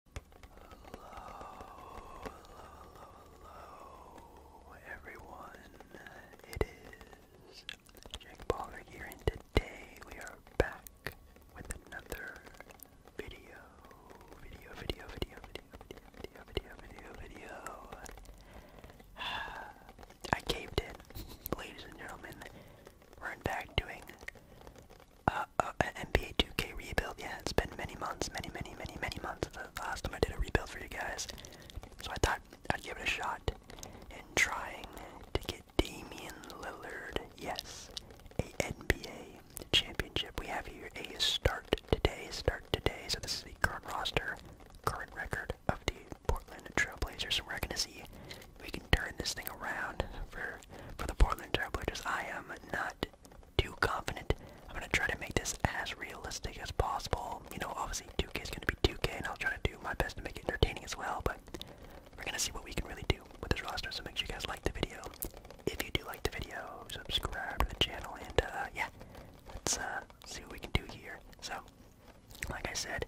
Hello, hello, hello, hello, everyone. It is Jake Baller here, and today we are back with another video. Video, video, video, video, video, video, video, video. I caved in, ladies and gentlemen. We're back doing uh, an NBA 2K rebuild. Yeah, it's been many months, many, many, many, many months. The last time I did a rebuild for you guys, so I thought I'd give it a shot in trying to get Damian Lillard. Yes, a NBA championship. We have here a start today, start today. So this is the current roster, current record of the Portland Trailblazers. we're gonna see we can turn this thing around for for the Portland Trailblazers. I am not too confident. I'm gonna try to make this as realistic as possible. You know, obviously 2K is gonna be 2K, and I'll try to do my best to make it entertaining as well. But we're gonna see what we can really do with this roster. So make sure you guys like the video. If you do like the video, subscribe to the channel, and uh, yeah, let's uh, see what we can do here. So, like I said,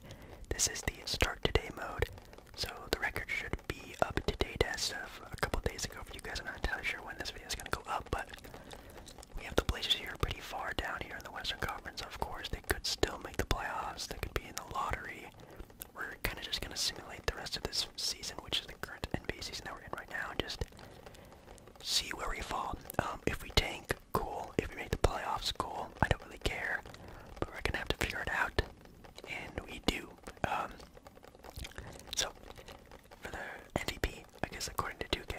this is the start today mode. So the record should be up to date as of a couple days ago for you guys. I'm not entirely sure when this video is going to go up, but we have the Blazers here pretty far down here in the Western Conference. Of course, they could still make the playoffs. They could be in the lottery. We're kind of just going to simulate the rest of this season, which is the current NBA season that we're in right now, and just see where we fall. Um, if we tank, cool. If we make the playoffs, cool. I don't really care, but we're going to have to figure it out, and we do. Um, so, for the MVP, I guess according to 2K,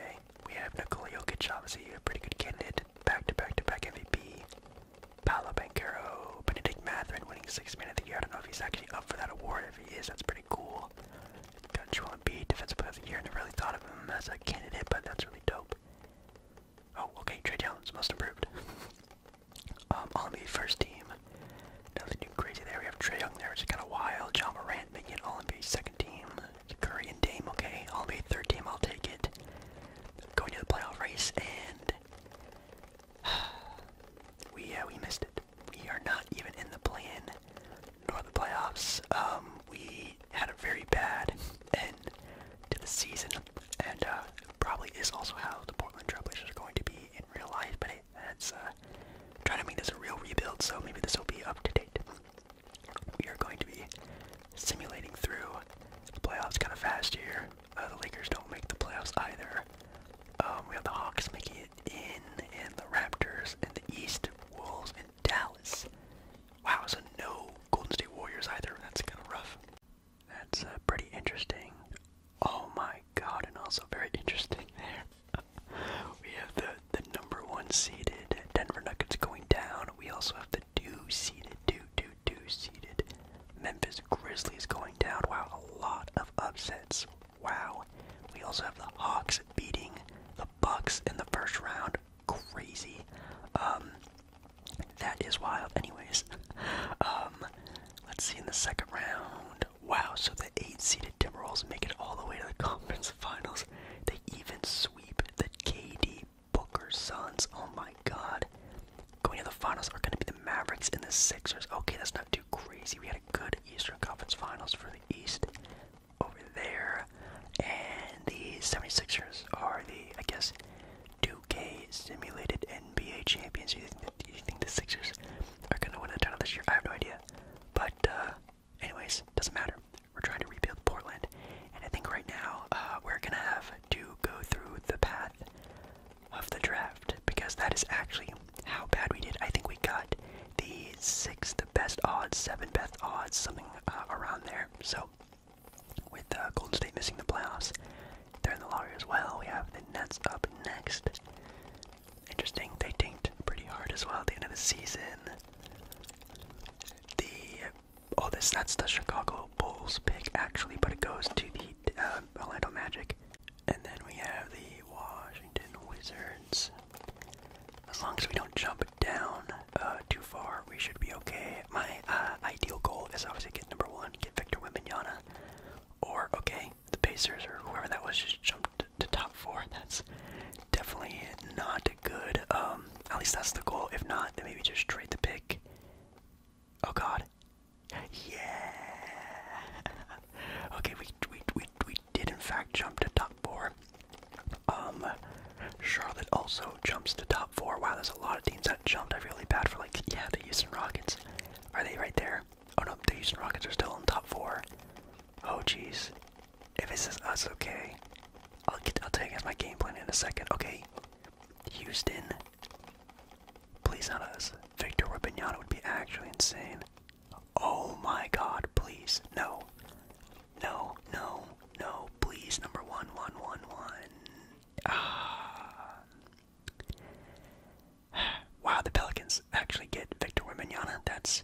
we have Nikola Jokic, obviously a pretty good candidate, back-to-back-to-back MVP. Paolo Banquero, Benedict Matherin winning six minutes of the Year. I don't know if he's actually up for that award. If he is, that's pretty cool. Got Joel Embiid, Defensive Player of the Year. and Never really thought of him as a candidate, but that's really dope. Oh, okay, Trey Jones, most improved. Um, I'll need first team. Nothing too crazy there. We have Trey Young there, which kind of wild. John Morant making all NBA second team. Curry and Dame, okay. All NBA third team, I'll take it. Going to the playoff race, and we we missed We are not even in the play nor the playoffs. Um, we had a very bad end to the season, and uh, probably is also how the Portland Trailblazers are going to be in real life. But that's uh, trying to make this a real rebuild, so maybe this will be up to date. We are going to be simulating through the playoffs kind of fast here. Uh, the Lakers don't make the playoffs either. Um, we have the Hawks making it in, and the Raptors, and the East Wolves, and Dallas. Wow, so no Golden State Warriors either. That's kind of rough. That's uh, pretty interesting. Oh my god, and also very interesting there. we have the the number one seeded Denver Nuggets going down. We also have the two seeded, two, two, two seeded Memphis Grizzlies going down. Wow, a lot of upsets. Wow. We also have the Hawks beating the Bucks in the first round. Crazy. Um that is wild anyways. Um let's see in the second round wow, so the eight-seeded Timberwolves make it all the way to the conference finals. They even sweep the KD Booker Suns. Oh my God! Going to the finals are going to be the Mavericks and the Sixers. Okay, that's not too crazy. We had a good Eastern Conference Finals for the East over there, and the 76ers are the I guess 2K simulated NBA champions. Do you think the Sixers are going to win a title this year? I have no idea. But, uh, anyways, doesn't matter. We're trying to rebuild Portland. And I think right now uh, we're going to have to go through the path of the draft because that is actually how bad we did. I think we got the sixth best odds, seven best odds, something uh, around there. So, with uh, Golden State missing the playoffs, they're in the lottery as well. We have the Nets up next. Interesting. They tanked pretty hard as well at the end of the season. The oh, this that's the Chicago Bulls pick actually, but it goes to the um, Orlando Magic. And then we have the Washington Wizards. As long as we don't jump down uh, too far, we should be okay. My uh, ideal goal is obviously get number one, get Victor Wembanyama. Or, okay, the Pacers or whoever that was just jumped to, top four. That's definitely not good. Um, at least that's the goal. If not, then maybe just trade the pick. Oh God. Yeah. okay, we we we we did in fact jump to top four. Um, Charlotte also jumps to top four. Wow, there's a lot of teams that jumped. I feel really bad for like yeah the Houston Rockets. Are they right there? Oh no, Houston Rockets are still in top four. Oh jeez. If it's just us, okay. I'll get, I'll tell you guys my game plan in a second. Okay, Houston. Please not us. Victor Rubinata would be actually insane. Oh my God! Please no, no, no, no! Please, number one, one, one, one. Ah, Wow, the Pelicans actually get Victor Wembanyama. That's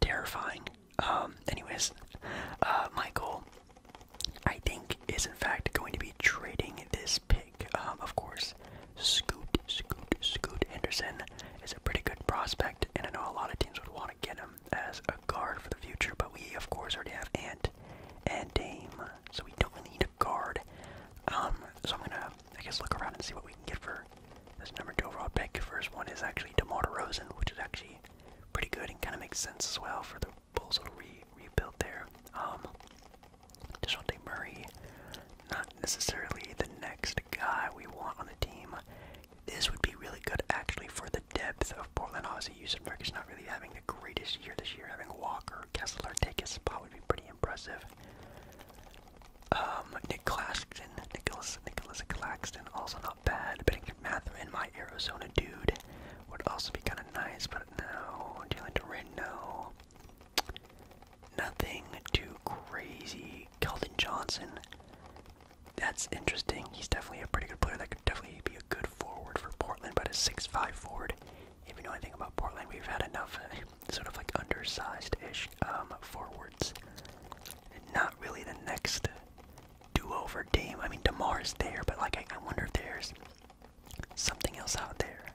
terrifying. Um, anyways, uh, Michael, I think, is in fact going to be trading this pick. Um, of course, Scoot, Scoot, Scoot Anderson is a pretty good prospect, and I know a lot of teams would want to get him as a guard for the future, but we, of course, already have Ant and Dame, so we don't need a guard. Um, so I'm gonna I guess look around and see what we can get for this number two overall pick. First one is actually DeMar DeRozan, which is actually pretty good and kind of makes sense as well for the Bulls' to re rebuild there. Um, Murray, not necessarily the next guy we want on the team. This would be really good actually for the depth of Portland. Obviously, Yusenberg is not really having the greatest year this year. Having Walker, Kessler take his spot would be pretty impressive. Um, Nick Claxton, Nicholas, Nicholas Claxton, also not bad. Bennington Matherin, my Arizona dude, would also be kind of nice, but no. Jalen Duran, no. Nothing too crazy. Keldon Johnson, that's interesting. He's definitely a pretty good player. That could definitely be a good forward for Portland, but a six-five forward. If you know anything about Portland, we've had enough uh, sort of like undersized-ish um, forwards. Not really the next duo for Dame. I mean, is there, but like I, wonder if there's something else out there.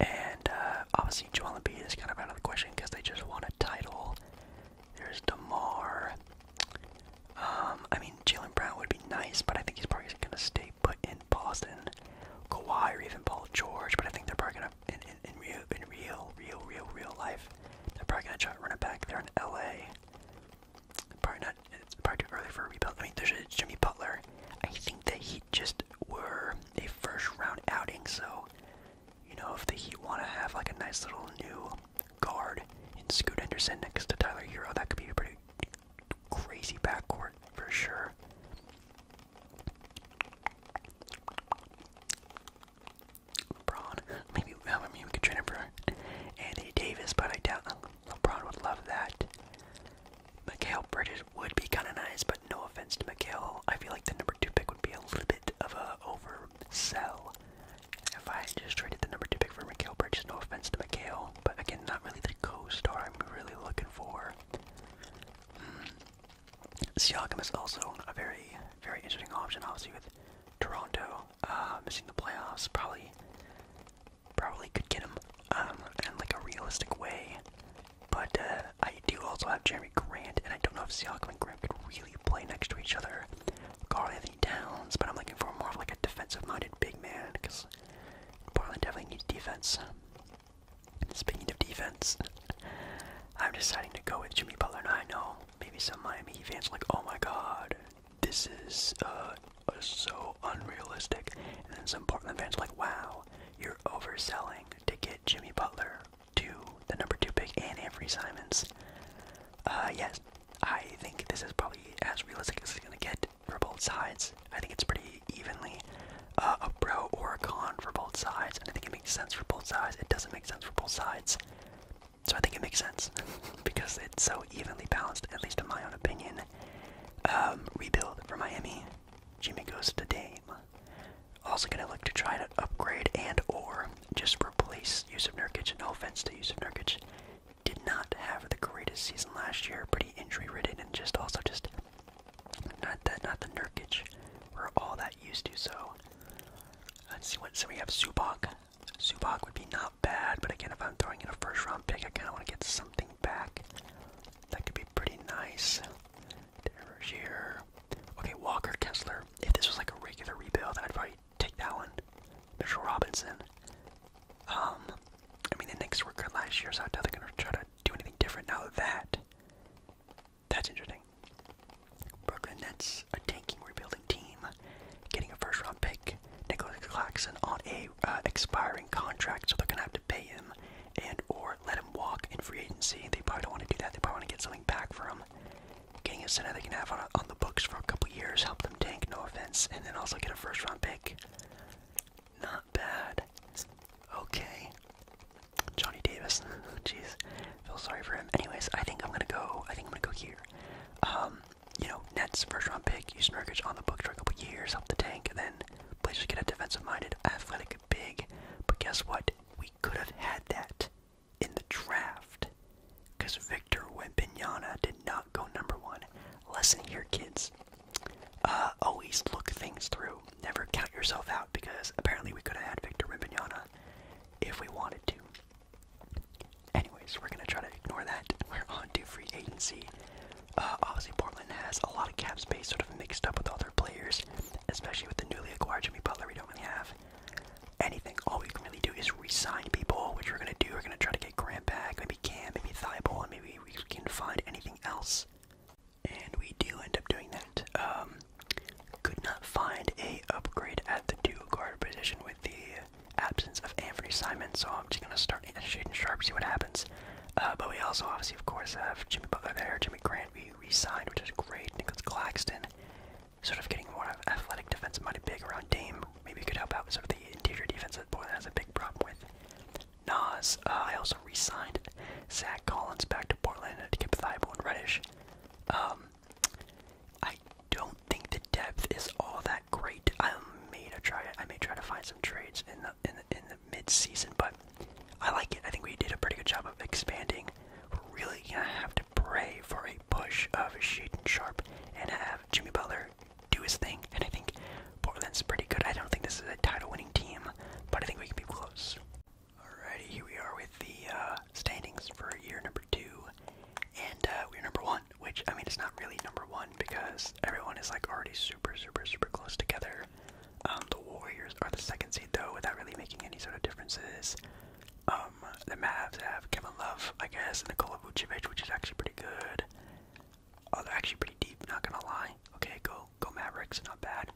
And uh, obviously, Joel Embiid is kind of out of the question because they just want a title. There's Demar. Um, I mean, Jalen Brown would be nice, but I think he's probably going to stay put in Boston. Kawhi or even Paul George, but I think they're probably going to in, in, in real, in real, real, real, real life, they're probably gonna try to run it back. there in LA. Probably not. It's probably too early for a rebuild. I mean, there's a Jimmy Butler. I think that he just were a first round outing, so you know if the Heat want to have like a nice little new guard in Scoot Henderson next to Tyler Hero, that could be a pretty crazy backcourt for sure. LeBron, maybe um, I mean we could trade him for Anthony Davis, but I doubt LeBron would love that. Mikhail Bridges would be kind of nice, but no offense to Mikhail, I feel like the number two pick would be a little bit of a oversell. If I just traded the number two pick for Mikhail Bridges, no offense to Mikhail, but again, not really the co-star I'm really looking for. Hmm. Siakam is also a very, very interesting option, obviously with Toronto uh, missing the playoffs. Probably, probably could get him um, in like a realistic way. But uh, I do also have Jeremy Grant, and I don't know if Siakam and Grant could really play next to each other. Carl Anthony Towns, but I'm looking for more of like a defensive-minded big man because Portland definitely needs defense. Speaking of defense, I'm deciding to go with Jimmy Butler. and I know maybe some Miami fans are like, oh my god, this is uh, uh, so unrealistic. And then some Portland fans are like, wow, you're overselling to get Jimmy Butler to the number two pick and Avery Simons. Uh, yes, I think this is probably as realistic as it's gonna get for both sides. I think it's pretty evenly uh, a pro or a con for both sides, and I think it makes sense for both sides. It doesn't make sense for both sides. So I think it makes sense because it's so evenly balanced, at least in my own opinion. Um, rebuild for Miami. Jimmy goes to Dame. Also gonna look to try to upgrade and or just replace use Yusuf Nurkic. No offense to use of Nurkic. Did not have the greatest season last year. Pretty injury ridden and just also just not that, not the Nurkic. We're all that used to. So let's see what. So we have Subak. Subak would be not bad, but again, if I'm throwing in a first-round pick, I kind of want to get something back. That could be pretty nice. Here. Okay, Walker Kessler. If this was like a regular rebuild, I'd probably take that one. Mitchell Robinson. Um, I mean, the Knicks were good last year, so I doubt they're gonna try to do anything different now. That that's interesting. Brooklyn Nets, a tanking, rebuilding team, getting a first round pick. Nicholas Claxton on a uh, expiring contract, so they're gonna have to pay him and or let him walk in free agency. They probably don't want to do that. They probably want to get something back for Getting a center they can have on, on the books for a couple years, help them tank, no offense, and then also get a first round pick bad. Okay. Johnny Davis. Jeez. Feel sorry for him. Anyways, I think I'm gonna go I think I'm gonna go here. Um, you know, Nets first round pick, use Nurkic on the books for a couple years, help the tank, and then Blazers get a defensive minded, athletic big. But guess what? We could have had that in the draft. Because Victor Wembanyama did not go number one. Lesson here, kids. Uh, always look things through never count yourself out because apparently we could have had Victor Rimbanyana if we wanted to. Anyways, we're gonna try to ignore that. We're on to free agency. Uh, obviously, Portland has a lot of cap space sort of mixed up with other players, especially with the newly acquired Jimmy Butler. We don't really have anything. All we can really do is resign sign people, which we're gonna do. We're gonna try to get Grant back, maybe Cam, maybe Thibault, and maybe we can find anything else and we do end up doing that. Um, could not find a upgrade at the dual guard position with the absence of Anthony Simon, so I'm just gonna start shooting sharp, see what happens. Uh, but we also obviously, of course, have Jimmy Butler there, Jimmy Grant we re-signed, which is great. Nicholas Claxton, sort of getting more of athletic defense money big around Dame. Maybe could help out with sort of the interior defense that Portland has a big problem with. Nas, uh, I also re Zach Collins back to Portland to get Thibault and Reddish. Um, I don't think the depth is all that great. I may try. I may try to find some trades in the in the, in but I like it. I think we did a pretty good job of expanding. We're really gonna have to pray for a push of Shaden Sharp and have Jimmy Butler do his thing. And I think Portland's pretty good. I don't think this is a title-winning team, but I think we can be close. Alrighty, here we are with the uh, standings for year number two, and uh, we're number one. Which I mean, it's not really number one because everyone is like already super, super, super close together. Um, the Warriors are the second seed though, without really making any sort of differences. Um, the Mavs have Kevin Love, I guess, and Nikola Vucevic, which is actually pretty good. Oh, they're actually pretty deep. Not gonna lie. Okay, go, go Mavericks. Not bad.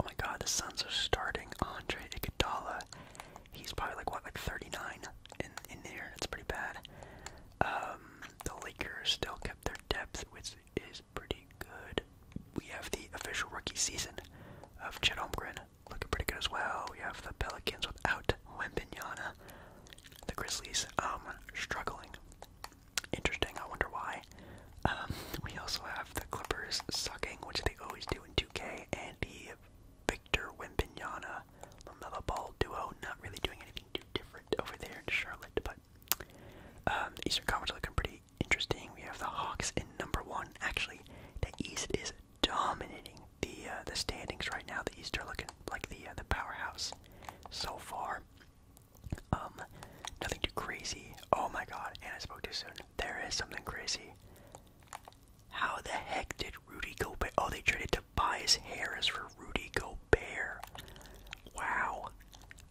Oh my god, the Suns are starting Andre Iguodala. He's probably like what, like 39 in in there. That's pretty bad. Um, the Lakers still kept their depth, which is pretty good. We have the official rookie season of Chet Omgren, looking pretty good as well. We have the Pelicans without Wembignana. The Grizzlies um struggling, Interesting. I wonder why. Um, we also have the Clippers sucking, which they always do in 2K, and the Victor Wimpignana Lamella Ball duo not really doing anything too different over there in Charlotte, but um, Eastern Conference looking pretty interesting. We have the Hawks in number one. Actually, the East is dominating the uh, the standings right now. The East are looking like the uh, the powerhouse so far. Um, nothing too crazy. Oh my god, and I spoke too soon. There is something crazy. How the heck did Rudy Gobert? Oh, they traded Tobias Harris for Rudy Gobert. Wow.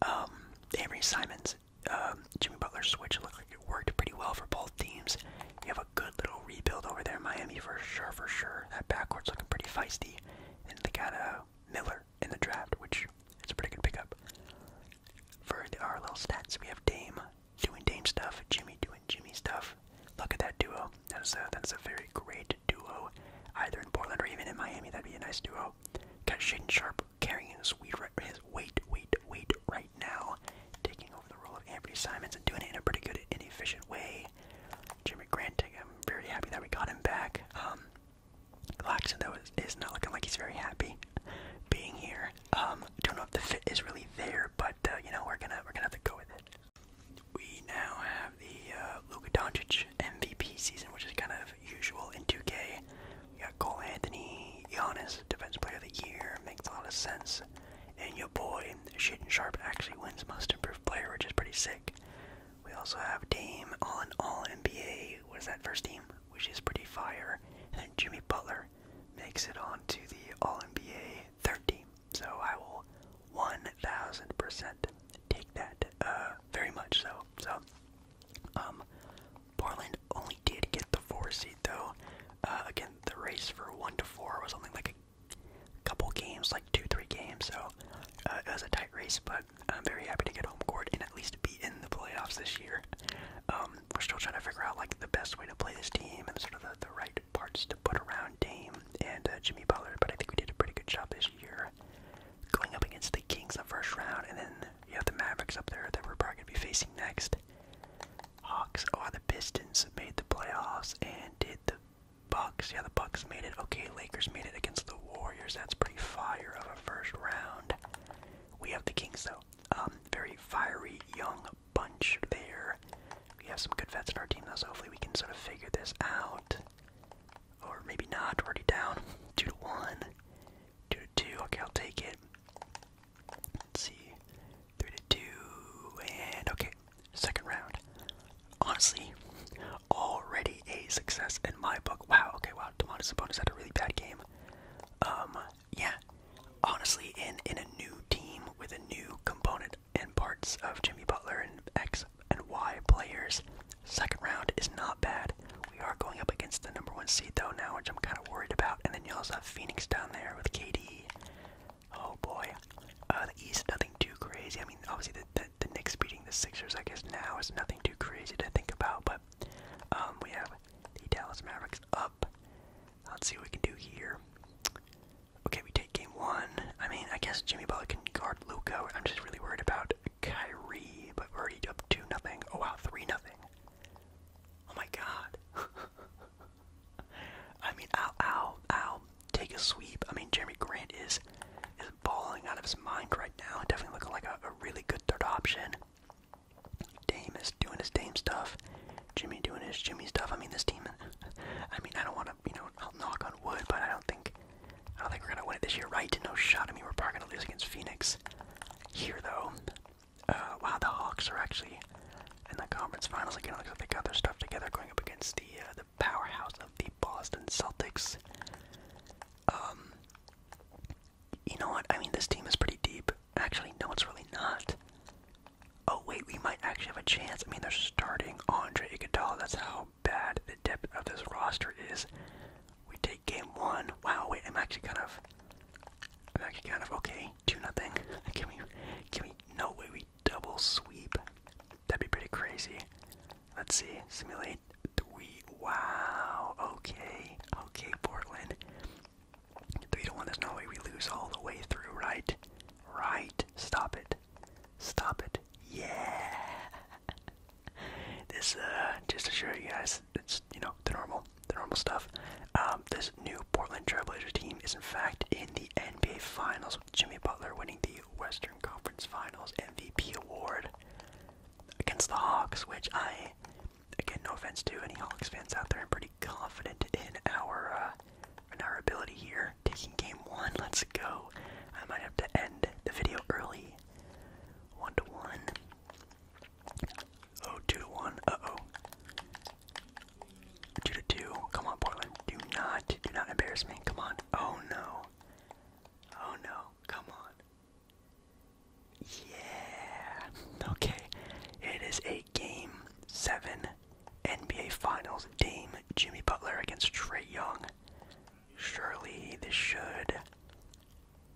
Um, Avery Simons, um, Jimmy Butler switch looked like it worked pretty well for both teams. You have a good little rebuild over there Miami for sure, for sure. That backcourt's looking pretty feisty. And they got a uh, Miller in the draft, which is a pretty good pickup. For the RLL stats, we have Dame doing Dame stuff, Jimmy doing Jimmy stuff. Look at that duo. That is a, that's a very great duo, either in Portland or even in Miami. That'd be a nice duo. Got Shaden Sharp carrying his weight, right, his weight, weight, right now, taking over the role of Anthony Simons and doing it in a pretty good efficient way. Jimmy Grant, I'm very happy that we got him back. Um, Laxando though is not looking like he's very happy being here. Um, don't know if the fit is really there, but uh, you know we're gonna we're gonna have to go with it. We now have the uh, Luka Doncic MVP season, which is kind of usual in 2K. We got Cole Anthony, Giannis, Defense Player of the Year, makes a lot of sense. And your boy Shaden Sharp actually wins Most Improved Player, which is pretty sick. We also have Dame, all in all NBA. What is that first team? which is pretty fire. And then Jimmy Butler makes it onto the All NBA 30. So I will 1000% take that uh, very much so. So, um, Portland only did get the four seat though. Uh, again, the race for one to four was only like a couple games, like two, three games. So uh, it was a tight race, but I'm very happy to get home court and at least be in the playoffs this year. Um, we're still trying to figure out like the best way to play this team and sort of the, the right parts to put around Dame and uh, Jimmy Butler, but I think we did a pretty good job this year. Going up against the Kings in the first round, and then you have the Mavericks up there that we're probably gonna be facing next. Hawks, oh, the Pistons made the playoffs, and did the Bucks? Yeah, the Bucks made it. Okay, Lakers made it against the Warriors. That's pretty fire of a first round. We have the Kings, though. Um, very fiery, young bunch there. We have some good vets in our team, though, so hopefully we can sort of figure this out. Or maybe not. Already down. 2 to 1. 2 to 2. Okay, I'll take it. Let's see. 3 to 2. And okay. Second round. Honestly, already a success in my book. Wow, okay, wow. Demonis Sabonis had a really bad game. Um, yeah, honestly, in in a new team with a new component and parts of Jimmy Butler and X and Y players, second round is not bad. We are going up against the number one seed though now, which I'm kind of worried about. And then you also have Phoenix down there with KD. Oh boy, uh, the East nothing too crazy. I mean, obviously the, the the Knicks beating the Sixers, I guess now is nothing too crazy to think about. But um, we have the Dallas Mavericks up. Let's see what we can do here. Okay, we take game one. I mean, I guess Jimmy Butler can guard Luka. I'm just really worried about Kyrie, but already up two nothing. Oh wow, three nothing. Oh my god. I mean, I'll, I'll, I'll Take a sweep. I mean, Jeremy Grant is is balling out of his mind right now. Definitely looking like a really good third option. Dame is doing his Dame stuff. Jimmy doing his Jimmy stuff. I mean, this team. I mean, I don't want to, you know, I'll knock on wood, but I don't think, I don't think we're gonna win it this year, right? No shot. I mean, we're probably gonna lose against Phoenix. Here though, uh, wow, the Hawks are actually in the conference finals again. Looks like they got their stuff together, going up against the uh, the powerhouse of the Boston Celtics. Um, you know what? I mean, this team is pretty deep. Actually, no, it's really not. Oh, wait, we might actually have a chance. I mean, they're starting Andre Iguodala. That's how bad the depth of this roster is. We take game one. Wow, wait, I'm actually kind of... I'm actually kind of okay. 2 nothing. Can we... Can we... No way we double sweep. That'd be pretty crazy. Let's see. Simulate point three. Wow. Okay. Okay, Portland. Three to one. There's no way we lose all the way through, right? Right. Stop it. Stop it. Yeah. This uh, just to show you guys, it's you know the normal, the normal stuff. Um, this new Portland Trailblazers team is in fact in the NBA Finals with Jimmy Butler winning the Western Conference Finals MVP award against the Hawks, which I again, no offense to any Hawks fans out there. I'm pretty confident in our uh, in our ability here. Taking game one, let's go. I might have to end the video early. One to one. Oh, two to one. Uh oh. Two to two. Come on, Portland. Do not, do not embarrass me. Come on. Oh no. Oh no. Come on. Yeah. Okay. It is a game seven NBA Finals. game. Jimmy Butler against Trey Young. Surely this should.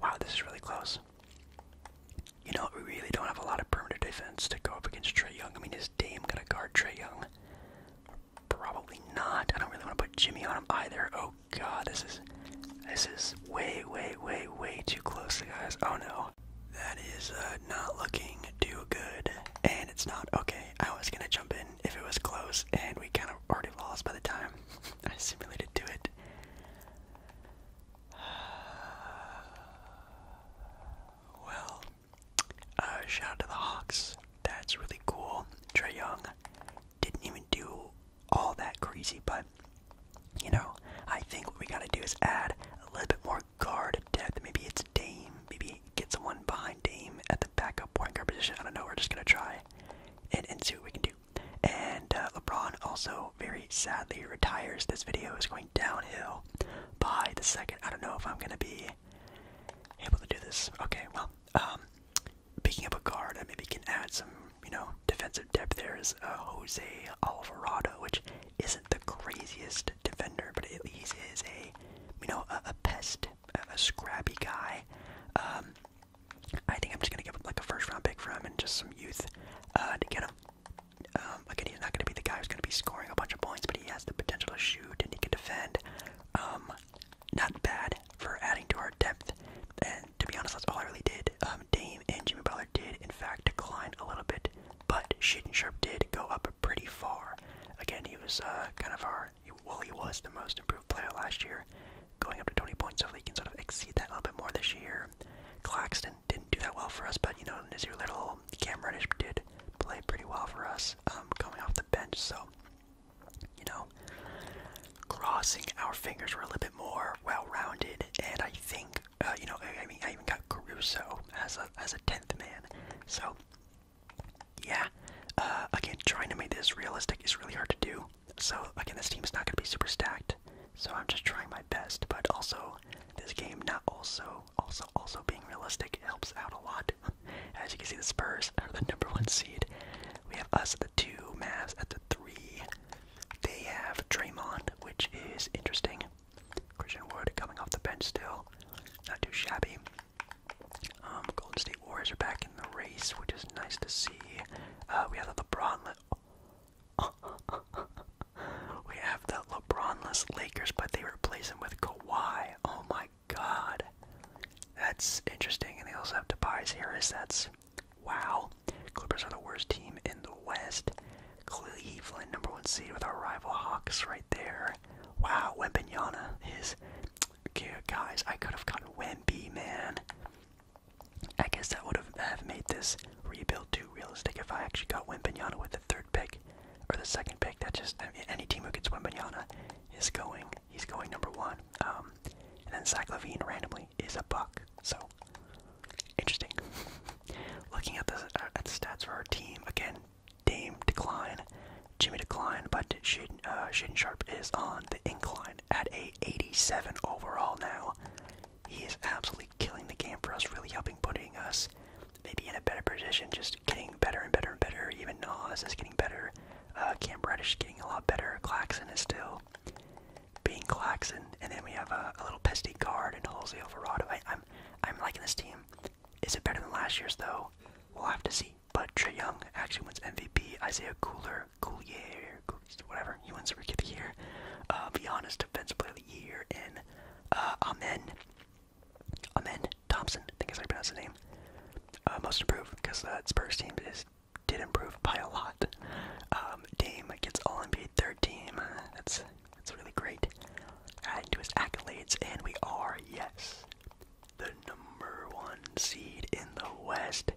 Wow, this is really close. You know, we really don't have a lot of perimeter defense to go up against Trey Young. I mean, is Dame gonna guard Trey Young? Probably not. I don't really want to put Jimmy on him either. Oh, god, this is this is way, way, way, way too close, guys. Oh no, that is uh, not looking too good, and it's not okay. I was gonna jump in if it was close, and we kind of already lost by the time I simulated to it. Well, uh, shout to the Hawks. That's really cool. Trey Young didn't even do all that crazy, but you know, I think what we gotta do is add a little bit more guard depth. Maybe it's Dame, maybe get someone behind Dame at the backup point guard position. I don't know, we're just gonna try and, see what we can do. And uh, LeBron also very sadly retires. This video is going downhill by the second. I don't know if I'm gonna be able to do this. Okay, well, um, picking up a guard, I maybe can add some, you know, defensive depth there is uh, Jose Alvarado, which isn't the craziest defender, but he is a you know a, pest, a, scrappy guy. Um, I think I'm just gonna give him like a first round pick from him and just some youth uh, to get him. again, um, he's not gonna be the guy who's gonna be scoring a bunch of points, but he has the potential to shoot and he can defend. Um, not bad for adding to our depth, to be honest, that's all I really did. Um, Dame and Jimmy Butler did, in fact, decline a little bit, but Shaden Sharp did go up pretty far. Again, he was uh, kind of our, well, he was the most improved player last year, going up to 20 points, so he can sort of exceed that a little bit more this year. Claxton didn't do that well for us, but, you know, Nazir Little, Cam Reddish did play pretty well for us um, coming off the bench, so, you know, crossing our fingers were a little bit more well-rounded, and I think uh, you know, I, mean, I even got Caruso as a as a tenth man. So yeah, uh, again, trying to make this realistic is really hard to do. So again, this team is not going to be super stacked. So I'm just trying my best, but also this game not also also also being realistic helps out a lot. As you can see, the Spurs are the number one seed. We have us the two, Mavs at the three. They have Draymond, which is interesting. Christian Wood coming off the bench still, not too shabby. Um, Golden State Warriors are back in the race, which is nice to see. Uh, we have the LeBronless. we have the LeBronless Lakers, but they replace him with Kawhi. Oh my God, that's interesting. And they also have Tobias Harris. That's Wow. Clippers are the worst team in the West. Cleveland, number one seed with our rival Hawks right there. Wow, Wembignana is. Okay, guys, I could have gotten Wemby, man. I guess that would have, have made this rebuild too realistic if I actually got Wembignana with the third pick or the second pick. That just any team who gets Wembignana is going. He's going number one. Um, and then Zach Levine randomly is a buck. So Interesting. Looking at the uh, at the stats for our team again, Dame decline, Jimmy decline, but Shaden, uh, Sharp is on the incline at a 87 overall now. He is absolutely killing the game for us, really helping putting us maybe in a better position, just getting better and better and better. Even Nas is getting better. Uh, Cam Reddish is getting a lot better. Claxon is still being Claxon, and then we have a, little pesky guard in Jose Alvarado. I, am I'm liking this team. Is it better than last year's though? We'll have to see. But Trey Young actually wins MVP. Isaiah Cooler, Coolier, whatever, he wins Rookie of the Year. Uh, Giannis Defensive Player of the Year, and uh, Amen, Amen Thompson. I think is how pronounce the name. Uh, most improved because that Spurs team is did improve by a lot. Um, Dame gets All NBA third team. That's that's really great. Adding to his accolades, and we are yes, the number one seed in the West.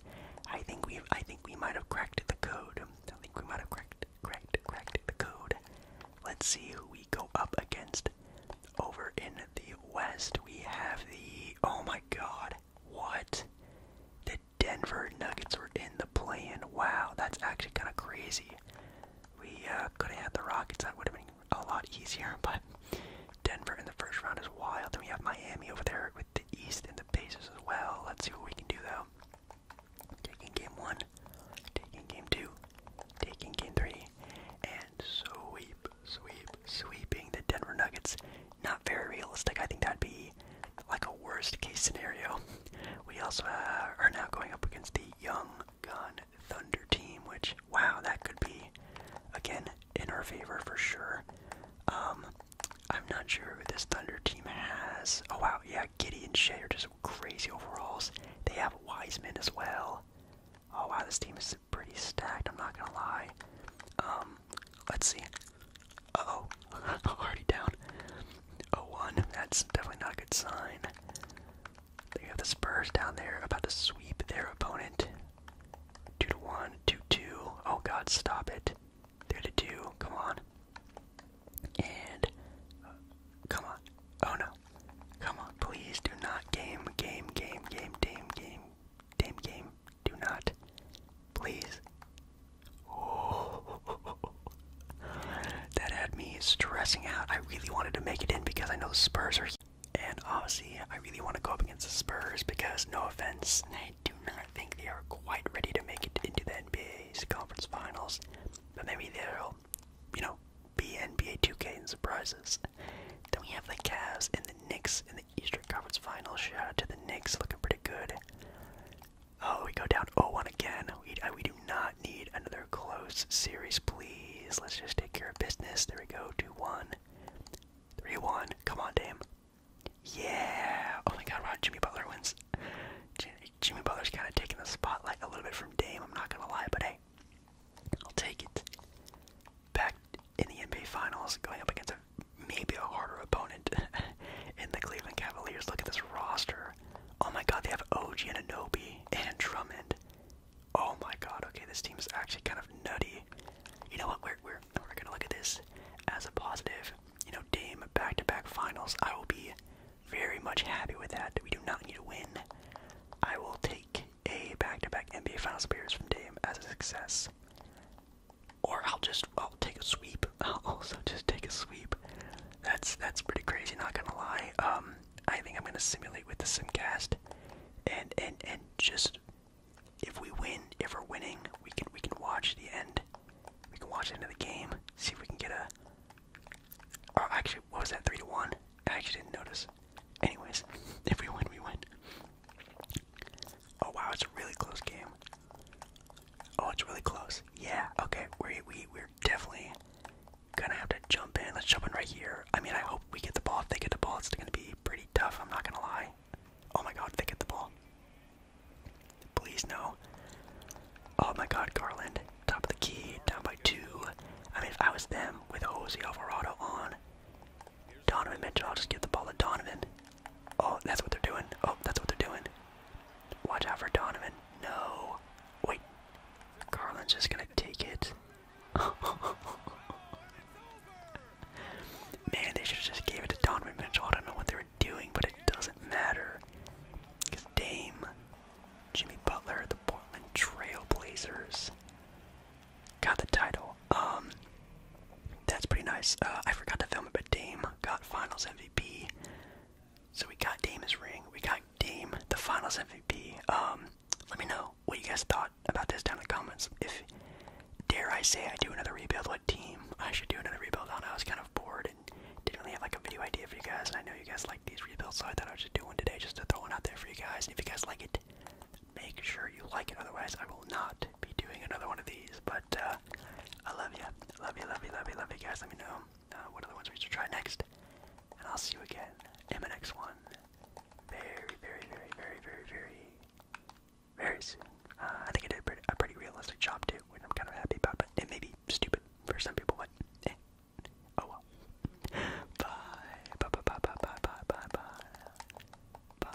I think we I think we might have cracked the code. I think we might have cracked cracked cracked the code. Let's see who we go up against. Over in the West, we have the oh my god, what? The Denver Nuggets were in the play-in. Wow, that's actually kind of crazy. We uh, could have had the Rockets. That would have been a lot easier. But Denver in the first round is wild. Then we have Miami over there with the East and the bases as well. Let's see what we can do though. Taking game one, taking game two, taking game three, and sweep, sweep, sweeping the Denver Nuggets not very realistic. I think that'd be like a worst case scenario. We also uh, are now going up against the Young Gun Thunder team, which, wow, that could be, again, in our favor for sure. Um, I'm not sure who this Thunder team has. Oh, wow, yeah, Giddy and Shea are just crazy overalls. They have Wiseman as well. Oh, wow, this team is pretty stacked, I'm not gonna lie. Um, um, let's see. Uh oh, already down. A oh one. That's definitely not a good sign. They have the Spurs down there about to sweep their opponent. Two to one. Two two. Oh God, stop it. Three to two. Come on. And uh, come on. Oh no. Come on, please do not game, game, game, game, game, game, game, game. Do not please. that had me stressing out. I really wanted to make it in because I know the Spurs are. And obviously, I really want to go up against the Spurs because, no offense, I do not think they are quite ready to make it into the NBA's conference finals. But maybe there will you know, be NBA 2K and surprises. Then we have the Cavs and the Knicks in the Eastern Conference Finals. Shout out to the Knicks, looking pretty good. Oh, we go down 0-1 again. We, uh, we do not need another close series, please. Let's just take care of business. There we go, 2-1. 3-1. Come on, Dame. Yeah! Oh my god, wow, Jimmy Butler wins. Jimmy Butler's kind of taking the spotlight a little bit from Dame, I'm not going to lie, but hey, I'll take it. Back in the NBA Finals, going up against maybe a harder opponent in the Cleveland Cavaliers. Look at this roster. Oh my god, they have OG and Anobi and Drummond. Oh my god, okay, this team is actually kind of nutty. You know what, we're, we're, we're gonna look at this as a positive. You know, Dame back-to-back finals, I will be very much happy with that. We do not need to win. I will take a back-to-back -back NBA Finals appearance from Dame as a success or I'll just I'll take a sweep. I'll also just take a sweep. That's that's pretty crazy. Not gonna lie. Um, I think I'm gonna simulate with the simcast, and and and just if we win, if we're winning, we can we can watch the end. We can watch the end of the game. See if we can get a. Oh, actually, what was that? Three to one. I actually didn't notice. Anyways, if we win, we win. Oh wow, it's a really close game. Oh, it's really close. Yeah. Okay. We we we're definitely gonna have to jump in. Let's jump in right here. I mean, I hope we get the ball. If they get the ball, it's gonna be pretty tough. I'm not gonna lie. Oh my God, they get the ball. Please no. Oh my God, Garland, top of the key, down by two. I mean, if I was them with Jose Alvarado on, Donovan Mitchell, I'll just give the ball to Donovan. Oh, that's what they're doing. Oh, that's what they're doing. Watch out for Donovan. No. Wait. Garland's just gonna take it. Man, they should just gave it to Donovan Mitchell. I don't know what they were doing, but it doesn't matter. Because Dame, Jimmy Butler, the Portland Trailblazers got the title. Um, that's pretty nice. Uh, I forgot to film it, but Dame got Finals MVP. So we got Dame ring. We got Dame the Finals MVP. Um, let me know what you guys thought about this down in the comments. If dare I say I do another rebuild, what team I should do another rebuild on? I was kind of bored and didn't really have like a video idea for you guys, and I know you guys like these rebuilds, so I thought I would just do one today just to throw one out there for you guys. And if you guys like it, make sure you like it. Otherwise, I will not be doing another one of these. But uh, I love you. Love you, love you, love you, love you guys. Let me know uh, what other ones we should try next. And I'll see you again in my next one. Very, very, very, very, very, very, very soon. Uh, I think I did a pretty, a pretty realistic job too, which I'm kind of happy about, but it may be stupid for some people, but eh. Oh well. Bye. Bye, bye, bye, bye, bye, bye, bye, bye. Bye.